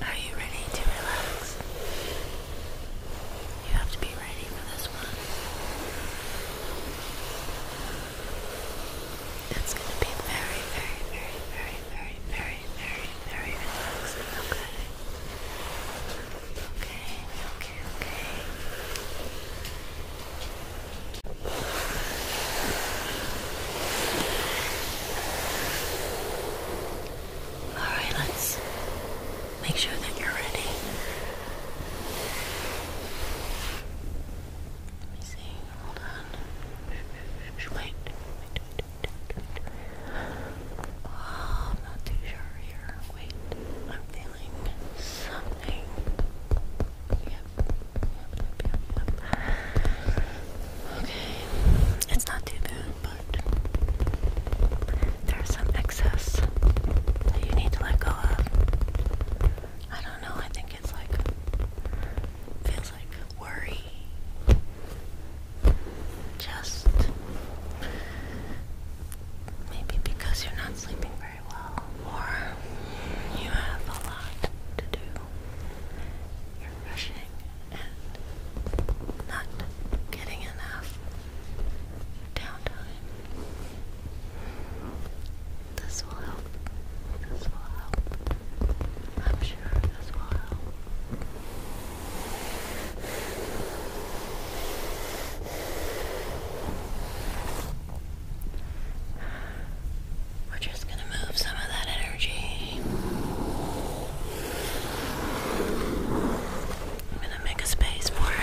Are you ready to relax? You have to be ready for this one. It's going to be very, very, very, very, very, very, very, very relaxing, okay? Okay, okay, okay. All right, let's make sure that you're ready. Let me see. Hold on. Wait. Oh, I'm not too sure here. Wait, I'm feeling something. Okay, it's not too bad, but there's some excess that you need to let go of. I don't know, I think it's like, feels like worry. Just maybe because you're not sleeping very well, or you have a lot to do. You're rushing doing and not getting enough downtime. This will help. This will help. I'm sure this will help. We're just going to move some of that energy. I'm going to make a space for it.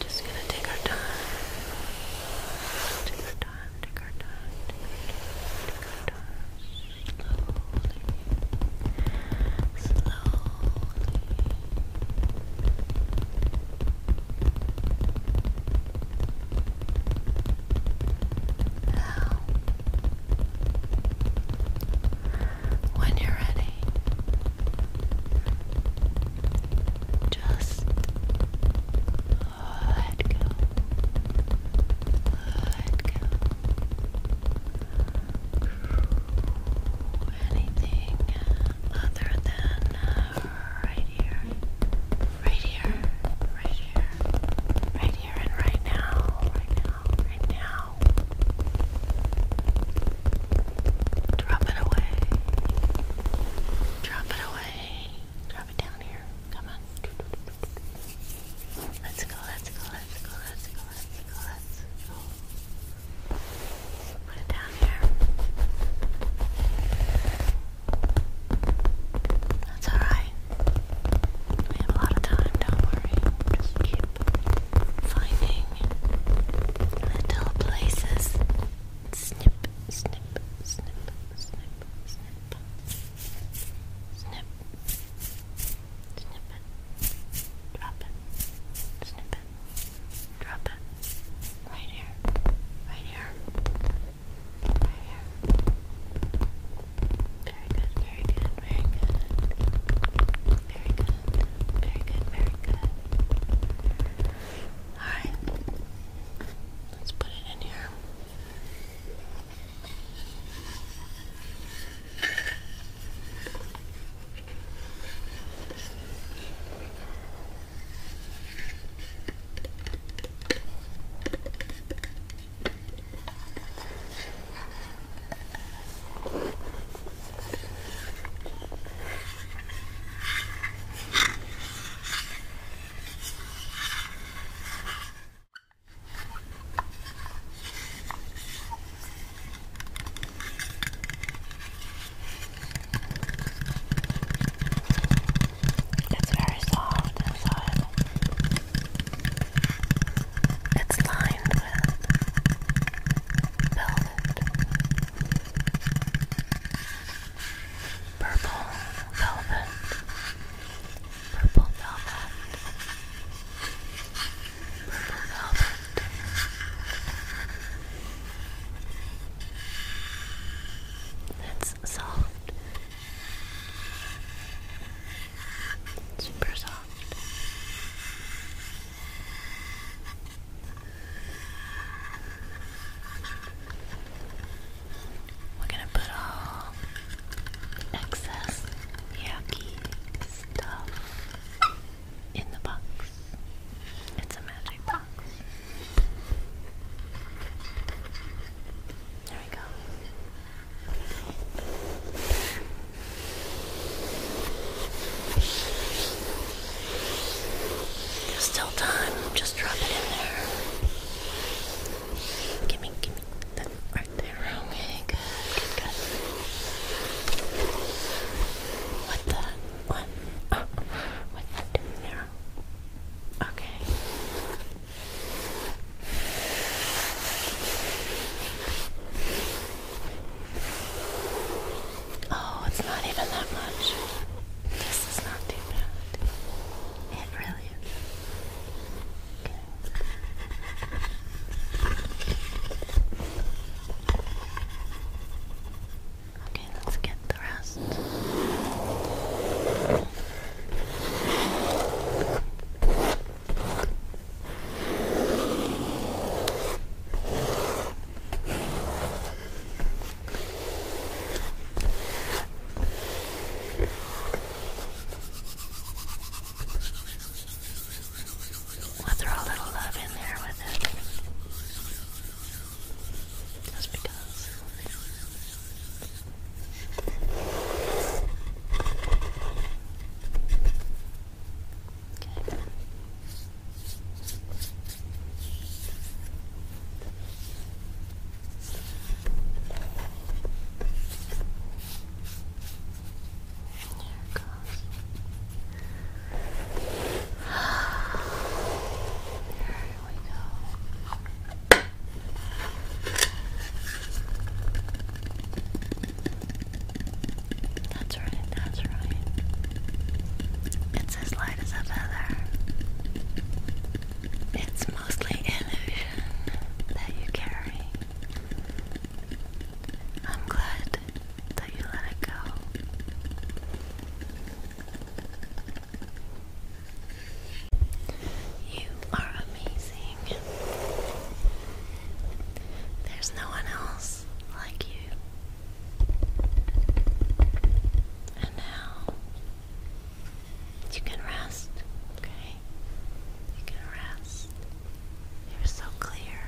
Just gonna take our time. Take our time, take our time, take our time, Slowly. Slowly. Now when you're ready. Just let go. Let go. Anything other than uh, right here. Right here. Right here. Right here and right now. Right now. Right now now. Drop it away. Drop it away. Drop it down here. Come on. Let's go, let's go, let's go, let's go, let's go, let's go. Put it down here. That's alright. We have a lot of time, don't worry. Just keep finding little places. Snip, snip, snip, snip, snip, snip, snip it, drop it, snip it, drop it. Right here, right here, right here. Very good, very good, very good. Very good. Very good. Very good. Alright. Let's put it in here. It's very soft inside. It's lined with pillow Purple velvet. Purple velvet. Purple velvet. It's soft. Super soft. We're gonna put all excess yucky stuff in the box. It's a magic box. There we go. There's still time. Just drop it in there. Gimme, gimme. That right there. Okay, good, good, What the? What? Oh, what the there? Okay. Oh, it's not even that much. This is not too bad. It really is. Okay. let's get the rest. We'll throw a little love in there with it. Just because. Okay. There goes. There we go. That's right, that's right. It's as light as a feather. It's mostly illusion that you carry. I'm glad that you let it go. You are amazing. There's no one else others like you. And now you can rest, okay? You can rest. You're so clear.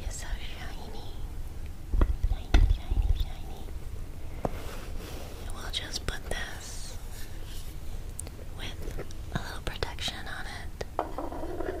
You're so shiny. Shiny, shiny, shiny. We'll just put this with a little protection on it.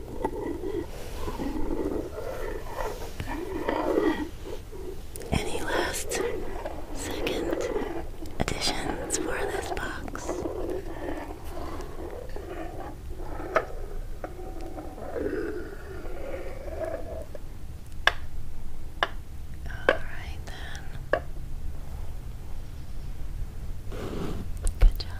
Any last second additions for this box? All right, then. Good job.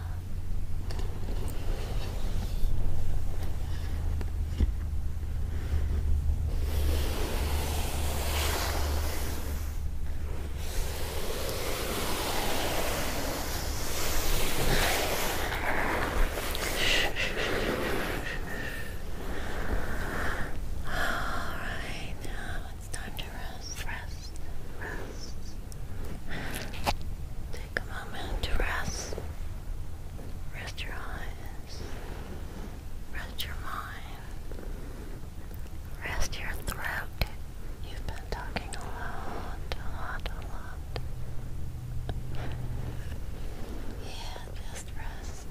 All right, now it's time to rest, rest, rest. Take Take a moment to rest. Rest your eyes. Rest your mind. Rest your throat. You've been talking a lot, a lot, a lot. Yeah, just rest.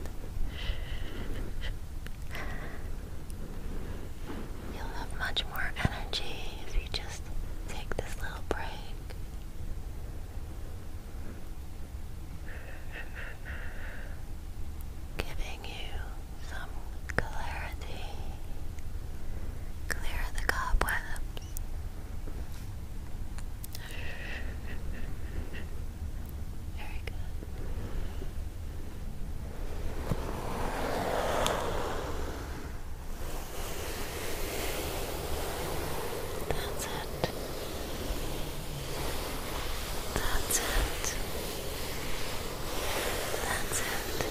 You'll have much more energy if you just take this little break giving you some clarity. Clear the cobwebs. Very good. That's it. That's it. That's it.